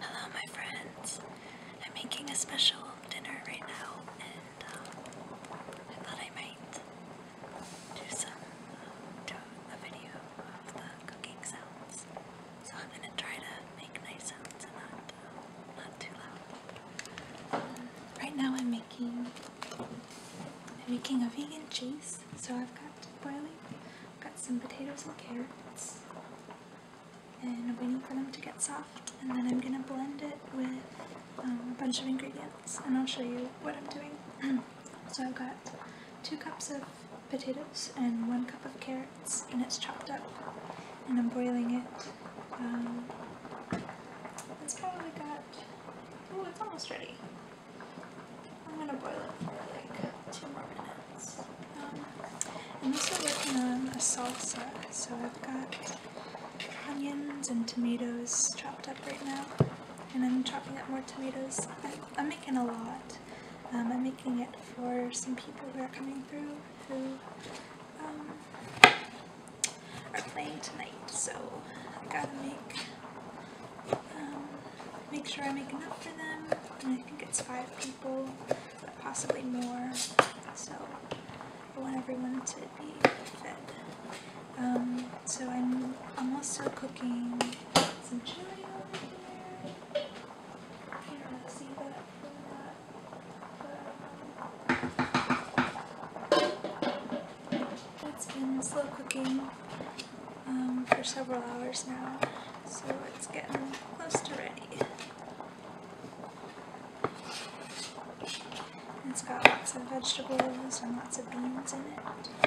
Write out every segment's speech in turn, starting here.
Hello, my friends. I'm making a special dinner right now, and um, I thought I might do some uh, do a video of the cooking sounds. So I'm gonna try to make nice sounds and not uh, not too loud. Um, right now, I'm making I'm making a vegan cheese. So I've got boiling, I've got some potatoes and carrots, and I'm waiting for them to get soft, and then I'm gonna blend it with um, a bunch of ingredients, and I'll show you what I'm doing. so I've got two cups of potatoes and one cup of carrots, and it's chopped up, and I'm boiling it. Um, it's probably got, oh, it's almost ready. I'm going to boil it for like two more minutes. And um, I'm working on a salsa, so I've got onions and tomatoes chopped up right now, and I'm chopping up more tomatoes. I, am making a lot. Um, I'm making it for some people who are coming through who um, are playing tonight, so I gotta make make sure I make enough for them. I think it's five people, possibly more. So I want everyone to be fed. Um, so I'm, I'm also cooking some chili over here. You don't see that from that. But, um, it's been slow cooking um, for several hours now, so it's getting close to ready. It's got lots of vegetables and lots of beans in it.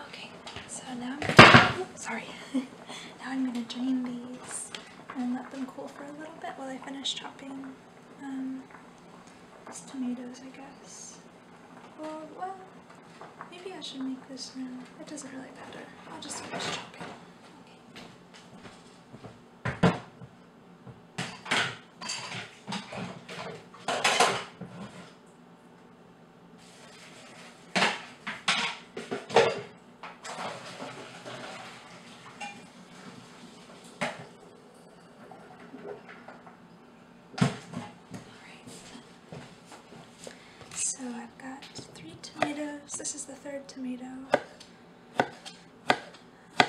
Okay, so now I'm, sorry. now I'm going to drain these and let them cool for a little bit while I finish chopping um, these tomatoes, I guess. Well, well, maybe I should make this now. It doesn't really matter. I'll just finish chopping. Okay. So I've got three tomatoes. This is the third tomato. I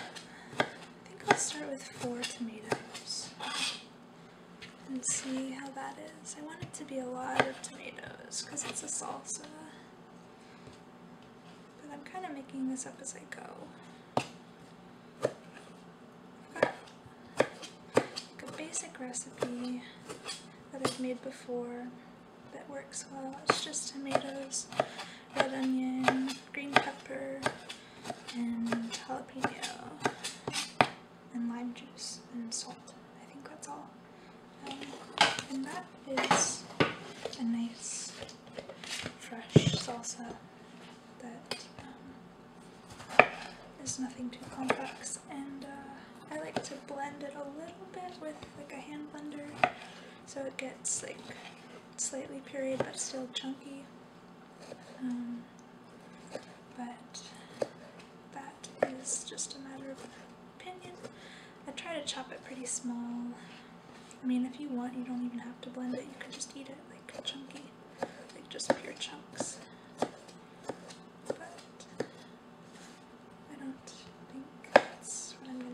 think I'll start with four tomatoes and see how that is. I want it to be a lot of tomatoes because it's a salsa. But I'm kind of making this up as I go. a basic recipe that I've made before that works well. It's just tomatoes, red onion, green pepper, and jalapeno, and lime juice, and salt. I think that's all. Um, and that is a nice fresh salsa that um, nothing too complex and uh, I like to blend it a little bit with like a hand blender so it gets like slightly period but still chunky. Um, but that is just a matter of opinion. I try to chop it pretty small. I mean, if you want, you don't even have to blend it. You could just eat it like chunky, like just pure chunks. But I don't think that's what I'm going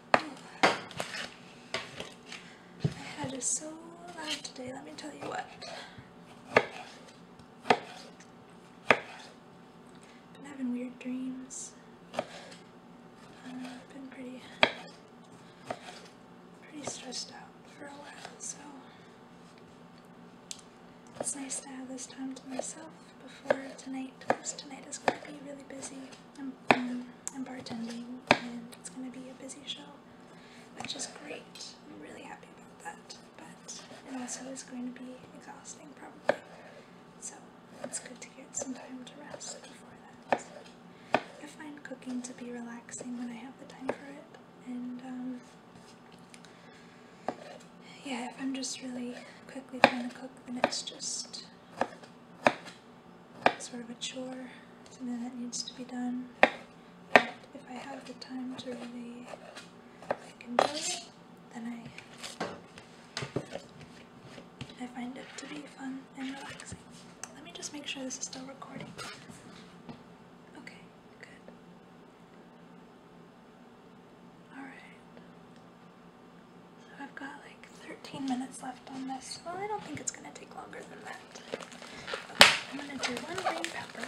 My head is so loud today, let me tell you what. Been having weird dreams. Um, been pretty, pretty stressed out for a while, so it's nice to have this time to myself before tonight, because tonight is going to be really busy. I'm bartending and it's going to be a busy show, which is great. I'm really happy about that, but it also is going to be exhausting probably. So it's good to get some time to rest before that. I find cooking to be relaxing when I have the time for it, and um, yeah, if I'm just really quickly trying to cook, then it's just sort of a chore, something that needs to be done. But if I have the time to really like enjoy it, then I I find it to be fun and relaxing. Let me just make sure this is still recording. Okay, good. Alright. So I've got like 13 minutes left on this. Well, I don't think it's going to take longer than that. I'm going to do one green pepper.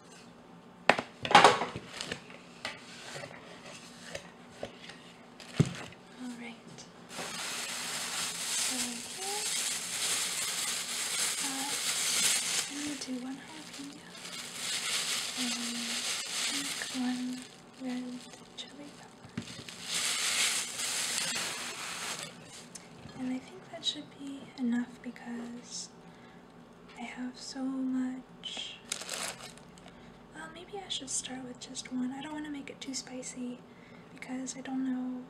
All right. So here, uh, I'm gonna do one jalapeno and I think one red chili pepper. And I think that should be enough because I have so much. Well, uh, maybe I should start with just one. I don't want to make it too spicy because I don't know.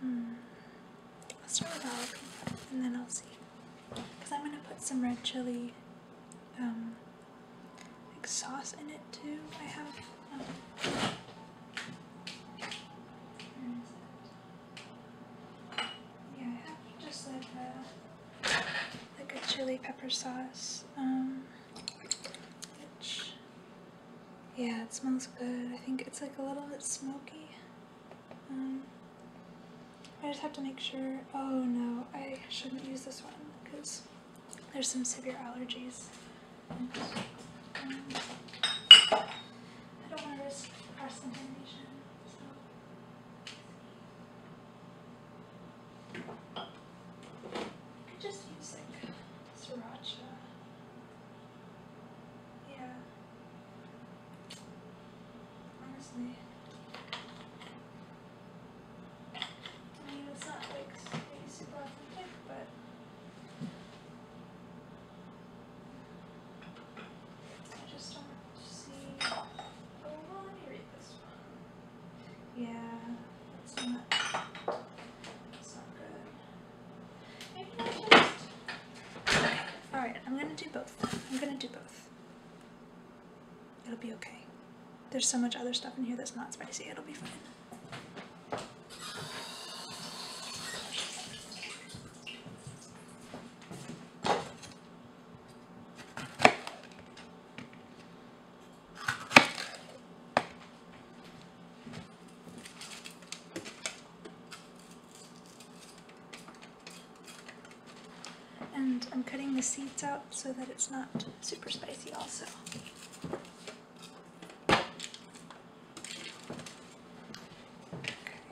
hmm. I'll start with jalapeno and then I'll see. Because I'm going to put some red chili um, like sauce in it too. I have. Um, hmm. Yeah, just like a, like a chili pepper sauce, um, yeah, it smells good. I think it's like a little bit smoky. Um, I just have to make sure, oh no, I shouldn't use this one because there's some severe allergies. Um, I don't want to risk cross i Could just use like sriracha. Yeah. Honestly. I mean, it's not like super authentic, but I just don't see. Oh, let me read this one. Yeah, that's not. good. Maybe I'll just. All right, I'm gonna do both. I'm gonna do both. It'll be okay. There's so much other stuff in here that's not spicy. It'll be fine. And I'm cutting the seeds out so that it's not super spicy also.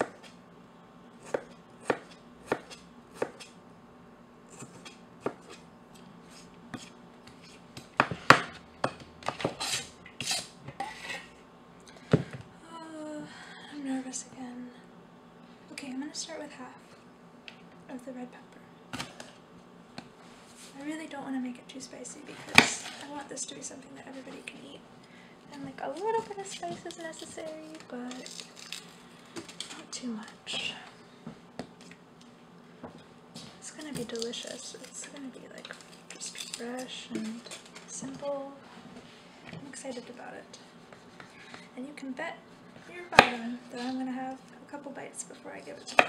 Uh, I'm nervous again. Okay, I'm gonna start with half of the red pepper. I really don't want to make it too spicy because I want this to be something that everybody can eat and like a little bit of spice is necessary, but not too much. It's gonna be delicious. It's gonna be like just fresh and simple. I'm excited about it. And you can bet your bottom that I'm gonna have a couple bites before I give it to you.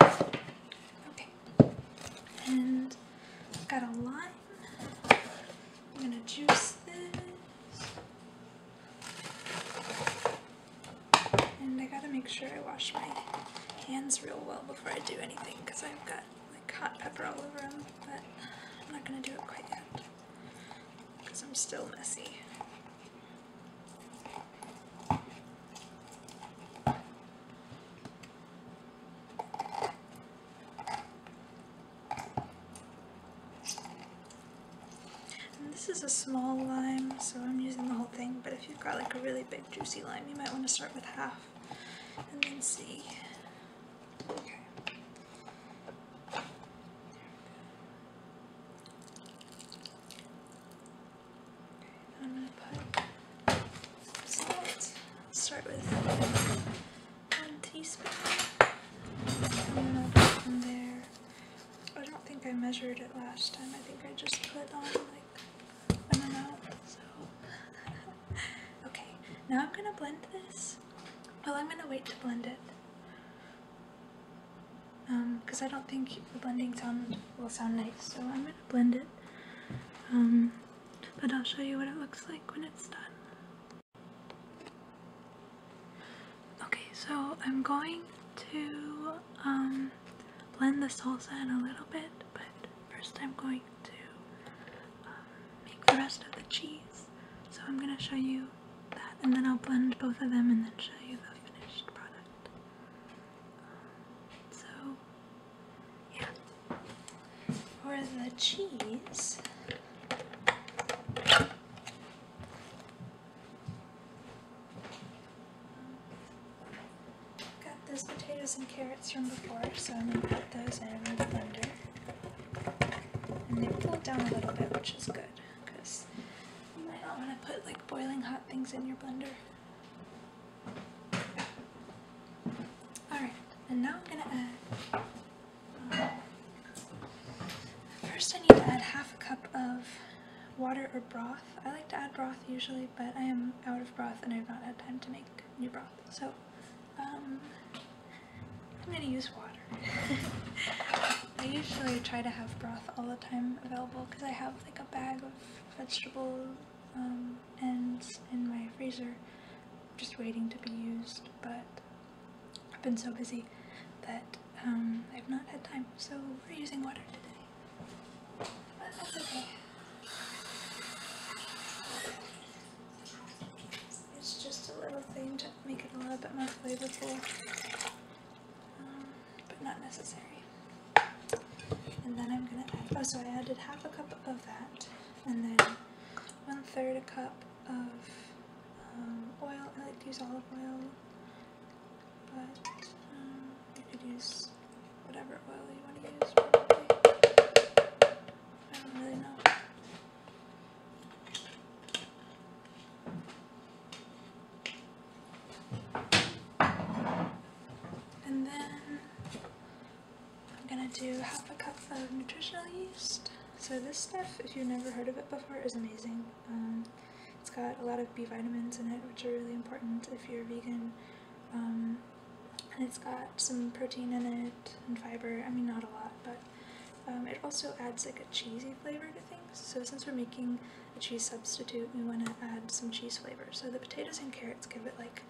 Okay, and I've got a line. I'm gonna juice this, and I gotta make sure I wash my hands real well before I do anything because I've got like hot pepper all over them. But I'm not gonna do it quite yet because I'm still messy. And this is a small lime, so I'm using the whole thing, but if you've got like a really big juicy lime, you might want to start with half and then see. I'm going to put salt. start with one teaspoon. And I'll put from there. I don't think I measured it last time. I think I just put on like an amount. okay. Now I'm gonna blend this. Well, I'm gonna wait to blend it because um, I don't think the blending sound will sound nice, so I'm going to blend it. Um, but I'll show you what it looks like when it's done. Okay, so I'm going to um, blend the salsa in a little bit, but first I'm going to make the rest of the cheese. So I'm going to show you that, and then I'll blend both of them and then show you the finished product so, yeah. For the cheese, got those potatoes and carrots from before, so I'm gonna put those in the blender. And they cooled down a little bit, which is good because you oh might not want to put like boiling hot things in your blender. Alright, and now I'm going to add. Um, first, I need to add half a cup of water or broth. I like to add broth usually, but I am out of broth and I've not had time to make new broth. So, um, I'm going to use water. I usually try to have broth all the time available because I have like a bag of vegetables um, and in my freezer just waiting to be used, but I've been so busy that um, I've not had time, so we're using water today. But that's okay. It's just a little thing to make it a little bit more flavorful but not necessary. And then I'm gonna add, oh, so I added half a cup of that, and then one third a cup of um, oil. I like to use olive oil, but um, you could use whatever oil you want to use. Probably. I don't really know. And then I'm gonna do half a cup of nutritional yeast. So this stuff, if you've never heard of it before, is amazing. Um, it's got a lot of B vitamins in it, which are really important if you're vegan. Um, and it's got some protein in it and fiber. I mean, not a lot, but um, it also adds like a cheesy flavor to things. So since we're making a cheese substitute, we want to add some cheese flavor. So the potatoes and carrots give it like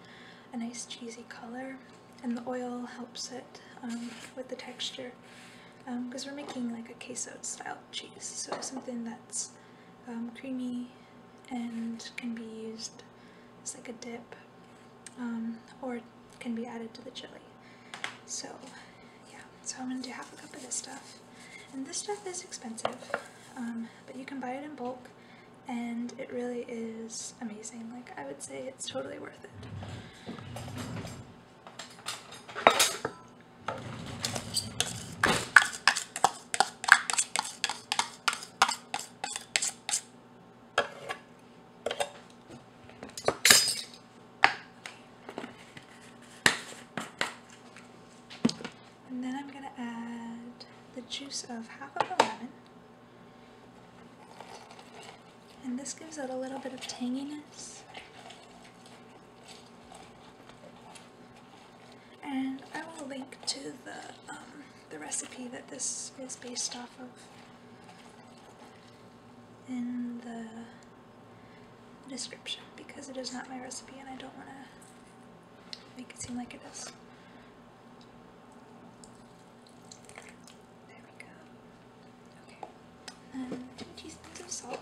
a nice cheesy color, and the oil helps it um, with the texture because um, we're making like a queso style cheese, so something that's um, creamy and can be used as like a dip or can be added to the chili. So yeah, so I'm gonna do half a cup of this stuff. And this stuff is expensive, um, but you can buy it in bulk, and it really is amazing. Like, I would say it's totally worth it. And then I'm going to add the juice of half of a lemon. And this gives it a little bit of tanginess. And I will link to the, um, the recipe that this is based off of in the description because it is not my recipe and I don't want to make it seem like it is. There we go. Okay. And two teaspoons of salt.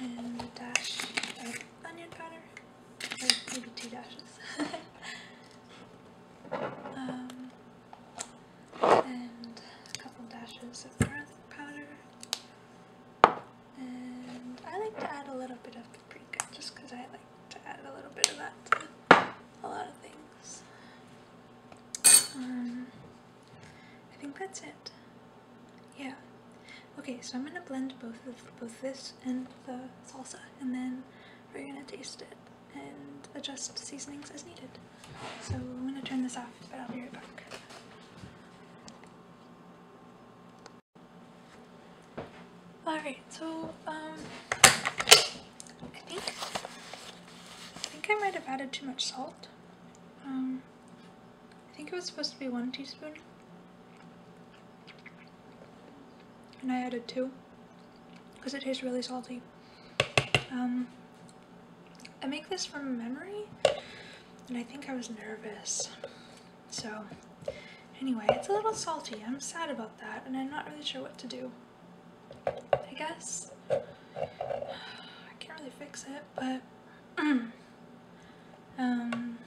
And a dash of onion powder maybe two dashes. um, and a couple dashes of breath powder. And I like to add a little bit of paprika just because I like to add a little bit of that to a lot of things. Um, I think that's it. Yeah. Okay, so I'm gonna blend both of both this and the salsa, and then we're gonna taste it and adjust seasonings as needed. So I'm gonna turn this off, but I'll be right back. Alright, so um I think I think I might have added too much salt. Um I think it was supposed to be one teaspoon and I added two because it tastes really salty. Um, I make this from memory and I think I was nervous. So anyway, it's a little salty. I'm sad about that and I'm not really sure what to do. I guess I can't really fix it, but Um,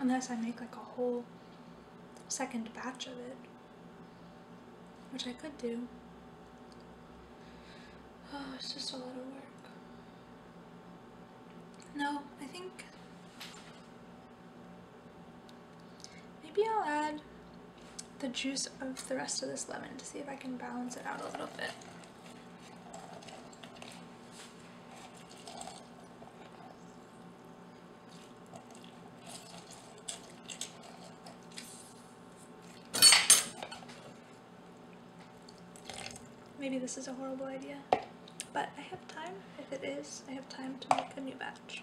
unless I make like a whole second batch of it, which I could do. Oh, it's just a lot of work. No, I think maybe I'll add the juice of the rest of this lemon to see if I can balance it out a little bit. Maybe this is a horrible idea, but I have time. If it is, I have time to make a new batch.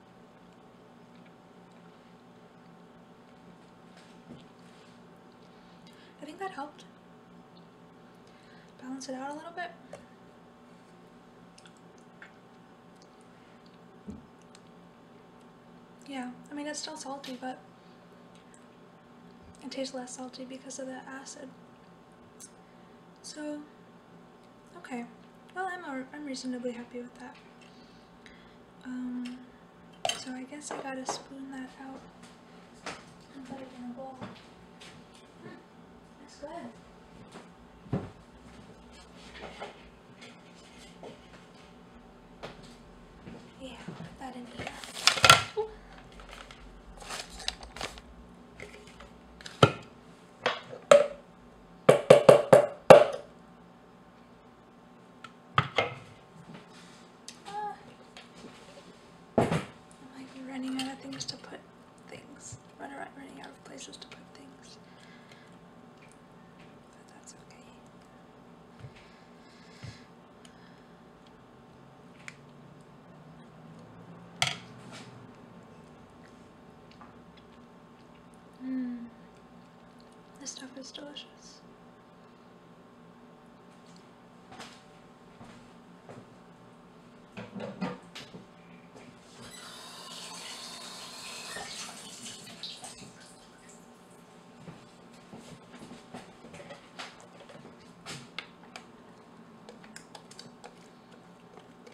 I think that helped balance it out a little bit. Yeah, I mean it's still salty, but it tastes less salty because of the acid. So Okay, well I'm, a, I'm reasonably happy with that. Um, so I guess I gotta spoon that out and put it in a bowl. that's good. Yeah, that in here running out of things to put things. Run around running out of places to put things. But that's okay. Hmm. This stuff is delicious.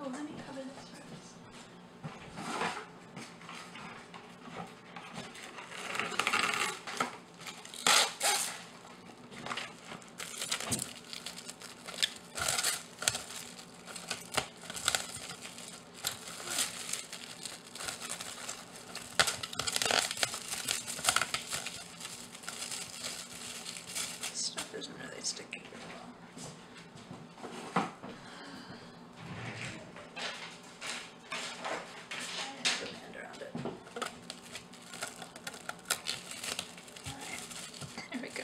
Oh, let me cover this first. stuff isn't really sticking well. Put my hand around it. Alright, there we go.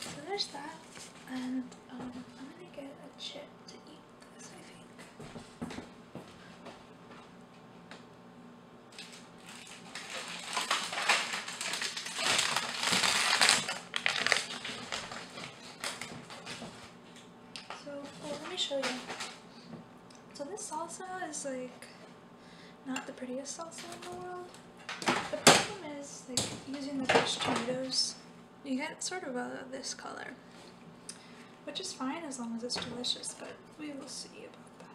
So there's that, and um, I'm gonna get a chip to eat this, I think. So, let me show you. So this salsa is like not the prettiest salsa in the world. The problem is like using the fresh tomatoes, you get sort of a, this color, which is fine as long as it's delicious, but we will see about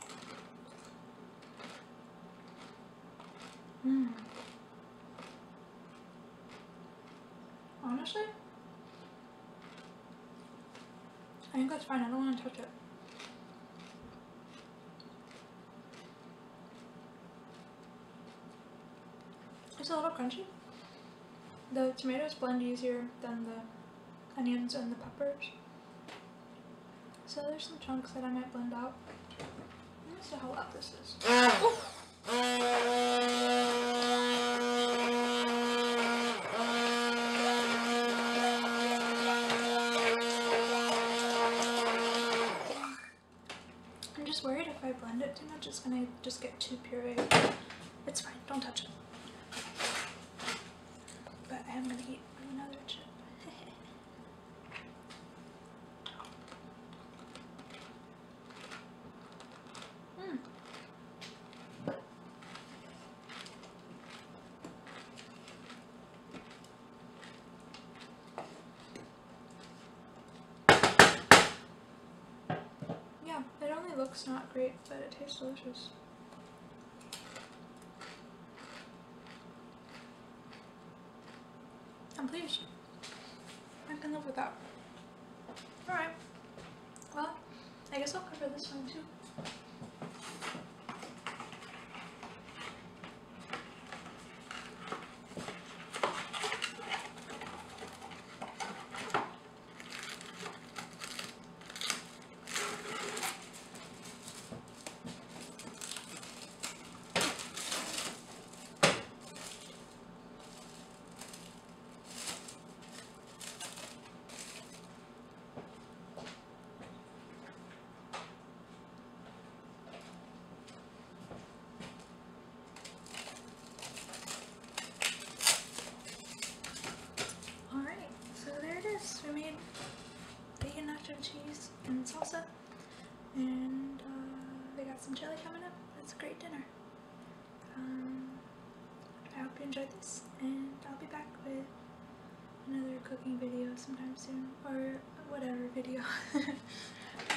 that. Mm. Honestly, I think that's fine. I don't want to touch it. It's a little crunchy. The tomatoes blend easier than the onions and the peppers. So there's some chunks that I might blend out. I'm see how loud this is. I'm just worried if I blend it too much it's gonna just get too puree. It's fine, don't touch it. But I am gonna eat Hmm. Yeah, it only looks not great, but it tastes delicious. I'm pleased. I can live with that. Alright. Well, I guess I'll cover this one too. Alright, so there it is. I mean bacon nacho and cheese and salsa. And uh, they got some chili coming up. That's a great dinner. Um, I hope you enjoyed this, and I'll be back with another cooking video sometime soon, or whatever video.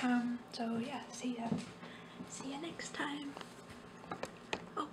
Um, so yeah, see ya. See you next time. Oh.